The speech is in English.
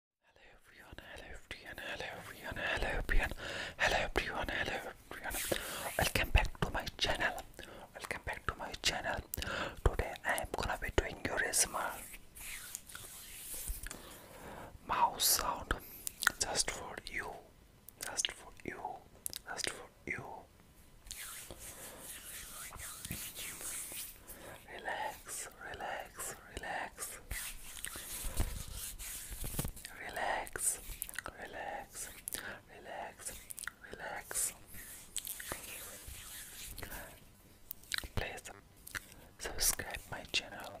Hello everyone, hello everyone, hello everyone, hello everyone, hello everyone, hello everyone. Welcome back to my channel. Welcome back to my channel. Today I am gonna be doing your ASMR mouse sound just for you, just for you, just for you. Relax, relax, relax. Relax, relax, relax, relax. Please subscribe my channel.